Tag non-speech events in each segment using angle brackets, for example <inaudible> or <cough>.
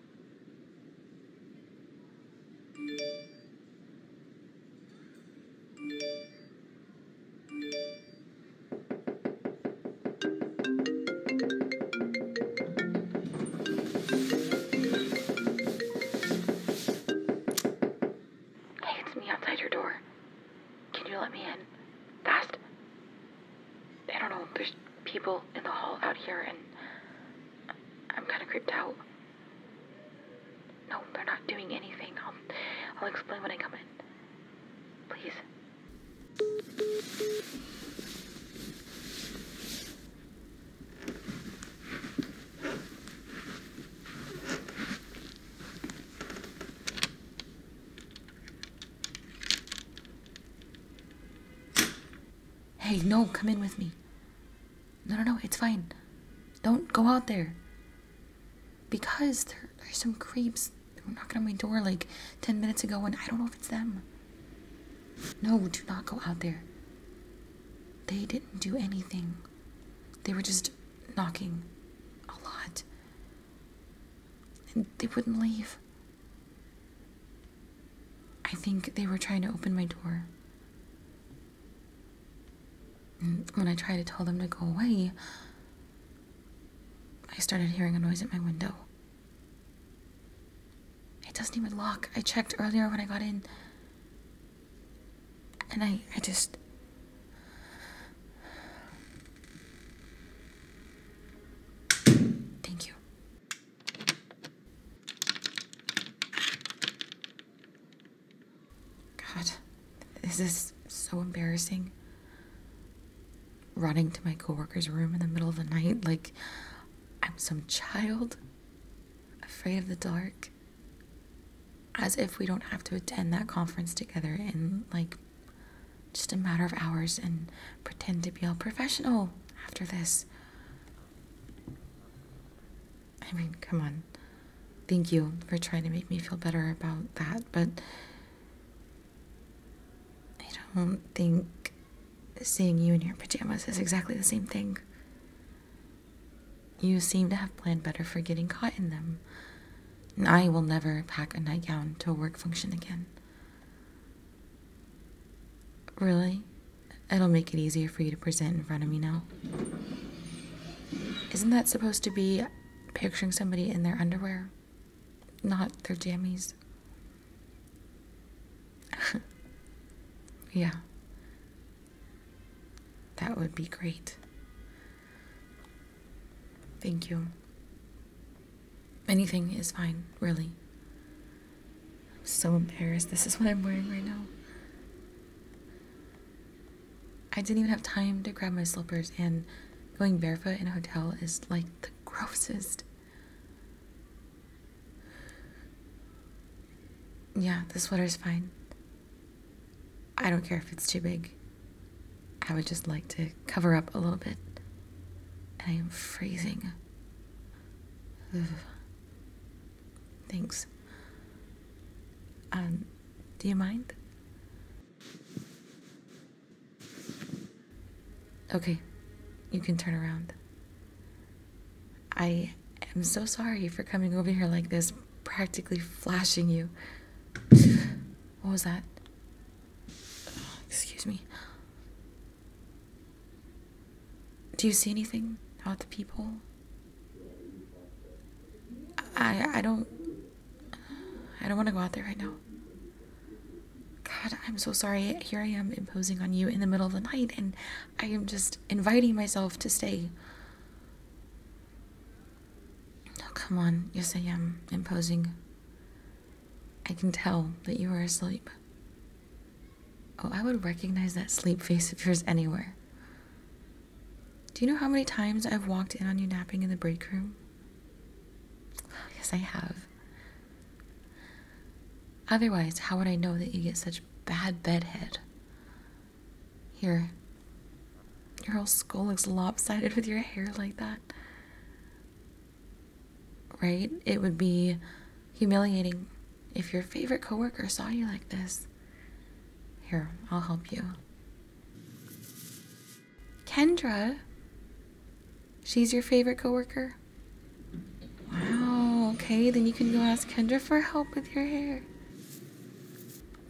Hey, it's me outside your door. Can you let me in? Fast? I don't know, there's people in the hall out here, and I'm kind of creeped out. No, they're not doing anything. I'll, I'll explain when I come in. Please. Hey, no, come in with me. No, no, no, it's fine. Don't go out there. Because there are some creeps that were knocking on my door like 10 minutes ago, and I don't know if it's them. No, do not go out there. They didn't do anything, they were just knocking a lot. And they wouldn't leave. I think they were trying to open my door. when I tried to tell them to go away, I started hearing a noise at my window. It doesn't even lock. I checked earlier when I got in. And I, I just. Thank you you. God, this so embarrassing. Running to my coworker's room in the middle of the night like I'm some child, afraid of the dark. As if we don't have to attend that conference together in like just a matter of hours and pretend to be all professional after this. I mean, come on. Thank you for trying to make me feel better about that, but I don't think seeing you in your pajamas is exactly the same thing. You seem to have planned better for getting caught in them. And I will never pack a nightgown to a work function again. Really? It'll make it easier for you to present in front of me now. Isn't that supposed to be picturing somebody in their underwear? Not their jammies? <laughs> yeah. That would be great. Thank you. Anything is fine, really. I'm so embarrassed. This is what I'm wearing right now. I didn't even have time to grab my slippers, and going barefoot in a hotel is like the grossest. Yeah, the sweater's fine. I don't care if it's too big. I would just like to cover up a little bit. I am freezing. Ugh. Thanks. Um, do you mind? Okay, you can turn around. I am so sorry for coming over here like this, practically flashing you. What was that? Excuse me. Do you see anything about the people? I I don't I don't want to go out there right now. God, I'm so sorry. Here I am imposing on you in the middle of the night and I am just inviting myself to stay. Oh, come on. Yes, I am imposing. I can tell that you are asleep. Oh, I would recognize that sleep face of yours anywhere. Do you know how many times I've walked in on you napping in the break room? <sighs> Yes, I have. Otherwise, how would I know that you get such bad bedhead? Here. Your whole skull looks lopsided with your hair like that right? It would be humiliating if your favorite coworker saw you like this. Here, I'll help you. Kendra, she's your favorite coworker? Wow, okay, then you can go ask Kendra for help with your hair.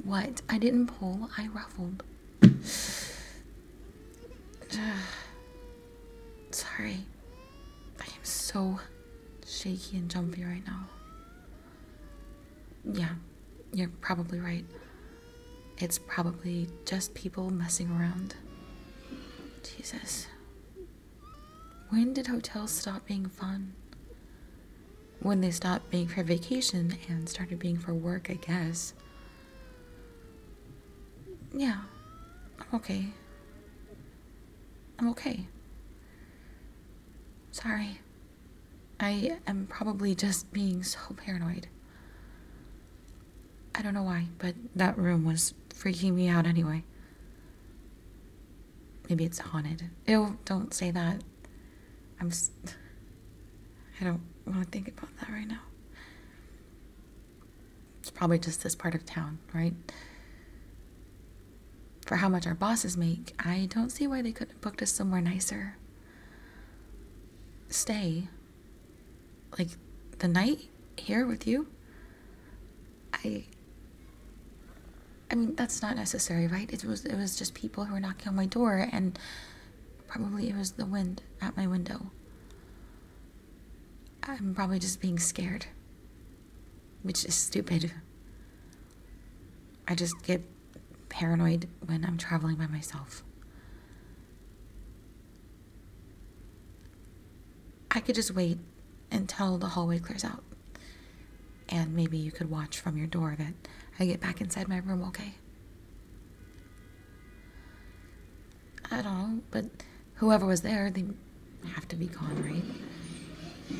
What? I didn't pull, I ruffled. <sighs> Sorry. I am so shaky and jumpy right now. Yeah, you're probably right. It's probably just people messing around. Jesus. When did hotels stop being fun? When they stopped being for vacation and started being for work, I guess. Yeah, I'm okay. I'm okay. Sorry. I am probably just being so paranoid. I don't know why, but that room was freaking me out anyway. Maybe it's haunted. Ew, don't say that. I'm. I don't want to think about that right now. It's probably just this part of town, right? For how much our bosses make, I don't see why they couldn't have booked us somewhere nicer. Stay. Like, the night here with you? I. I mean, that's not necessary, right? It was it was just people who were knocking on my door and Probably it was the wind at my window. I'm probably just being scared, which is stupid. I just get paranoid when I'm traveling by myself. I could just wait until the hallway clears out. And maybe you could watch from your door that I get back inside my room, okay? I don't know, but whoever was there, they have to be gone, right?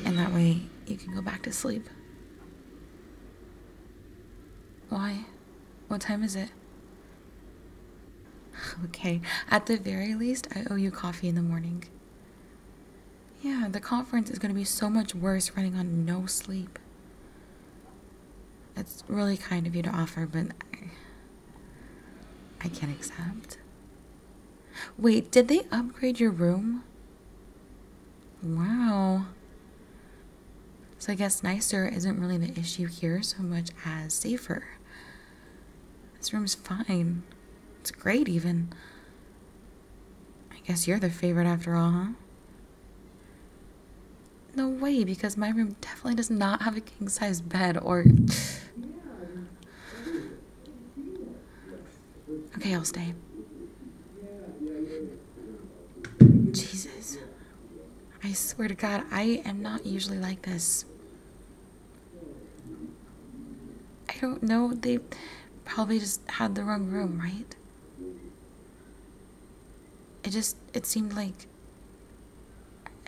And that way you can go back to sleep. Why? What time is it? <laughs> Okay, at the very least, I owe you coffee in the morning. Yeah, the conference is going to be so much worse running on no sleep. That's really kind of you to offer, but I, can't accept. Wait, did they upgrade your room? Wow. So I guess nicer isn't really the issue here so much as safer. This room's fine. It's great, even. I guess you're the favorite after all, huh? No way, because my room definitely does not have a king sized bed or. okay, I'll stay. Jesus. I swear to God, I am not usually like this. I don't know. They probably just had the wrong room, right? it just it seemed like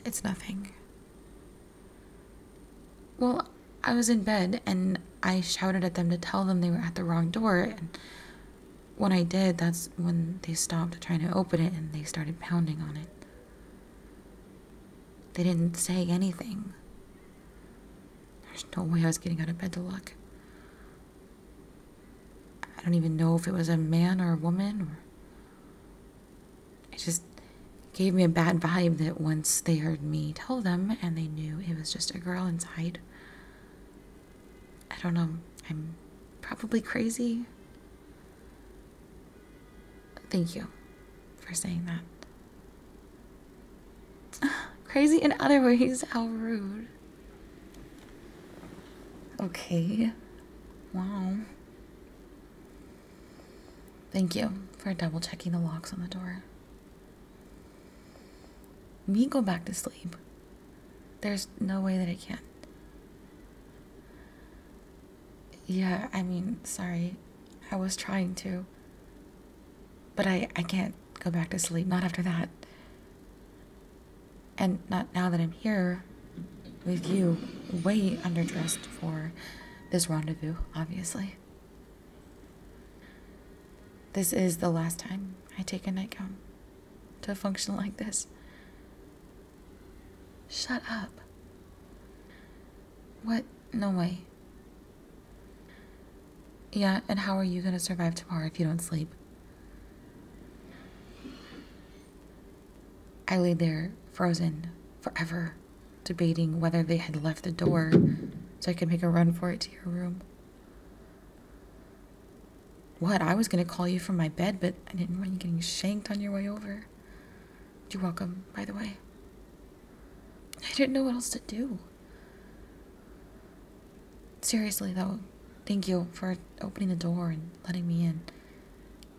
it's nothing. Well, I was in bed and I shouted at them to tell them they were at the wrong door. And when I did, that's when they stopped trying to open it and they started pounding on it. They didn't say anything. There's no way I was getting out of bed to look. I don't even know if it was a man or a woman. it just gave me a bad vibe that once they heard me tell them and they knew it was just a girl inside. I don't know. I'm probably crazy. Thank you for saying that. <sighs> crazy in other ways. How rude. Okay. Wow. Thank you for double checking the locks on the door. Me go back to sleep. There's no way that I can't. Yeah, I mean, sorry. I was trying to. But I, I can't go back to sleep. Not after that and not now that I'm here with you, way underdressed for this rendezvous, obviously. This is the last time I take a nightgown to function like this. Shut up. What? No way. Yeah, and how are you gonna survive tomorrow if you don't sleep? I lay there, frozen, forever, debating whether they had left the door so I could make a run for it to your room. What? I was going to call you from my bed, but I didn't want you getting shanked on your way over. You're welcome, by the way. I didn't know what else to do. Seriously, though, thank you for opening the door and letting me in.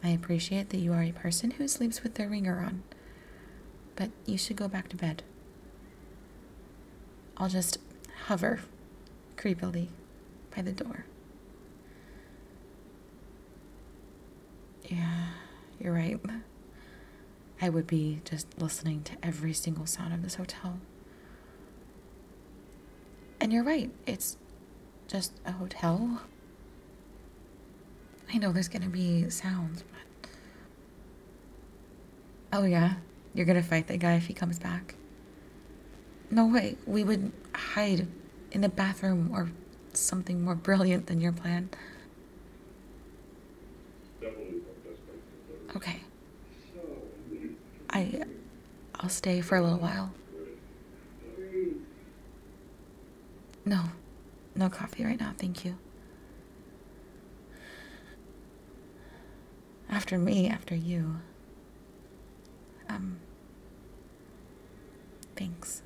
I appreciate that you are a person who sleeps with their ringer on, but you should go back to bed. I'll just hover creepily by the door. Yeah, you're right. I would be just listening to every single sound of this hotel. And you're right, it's just a hotel. I know there's gonna be sounds, but. Oh, yeah, you're gonna fight that guy if he comes back. No way, we would hide in the bathroom or something more brilliant than your plan. Okay. I I'll stay for a little while. No. No coffee right now, thank you. After me, after you. Um Thanks.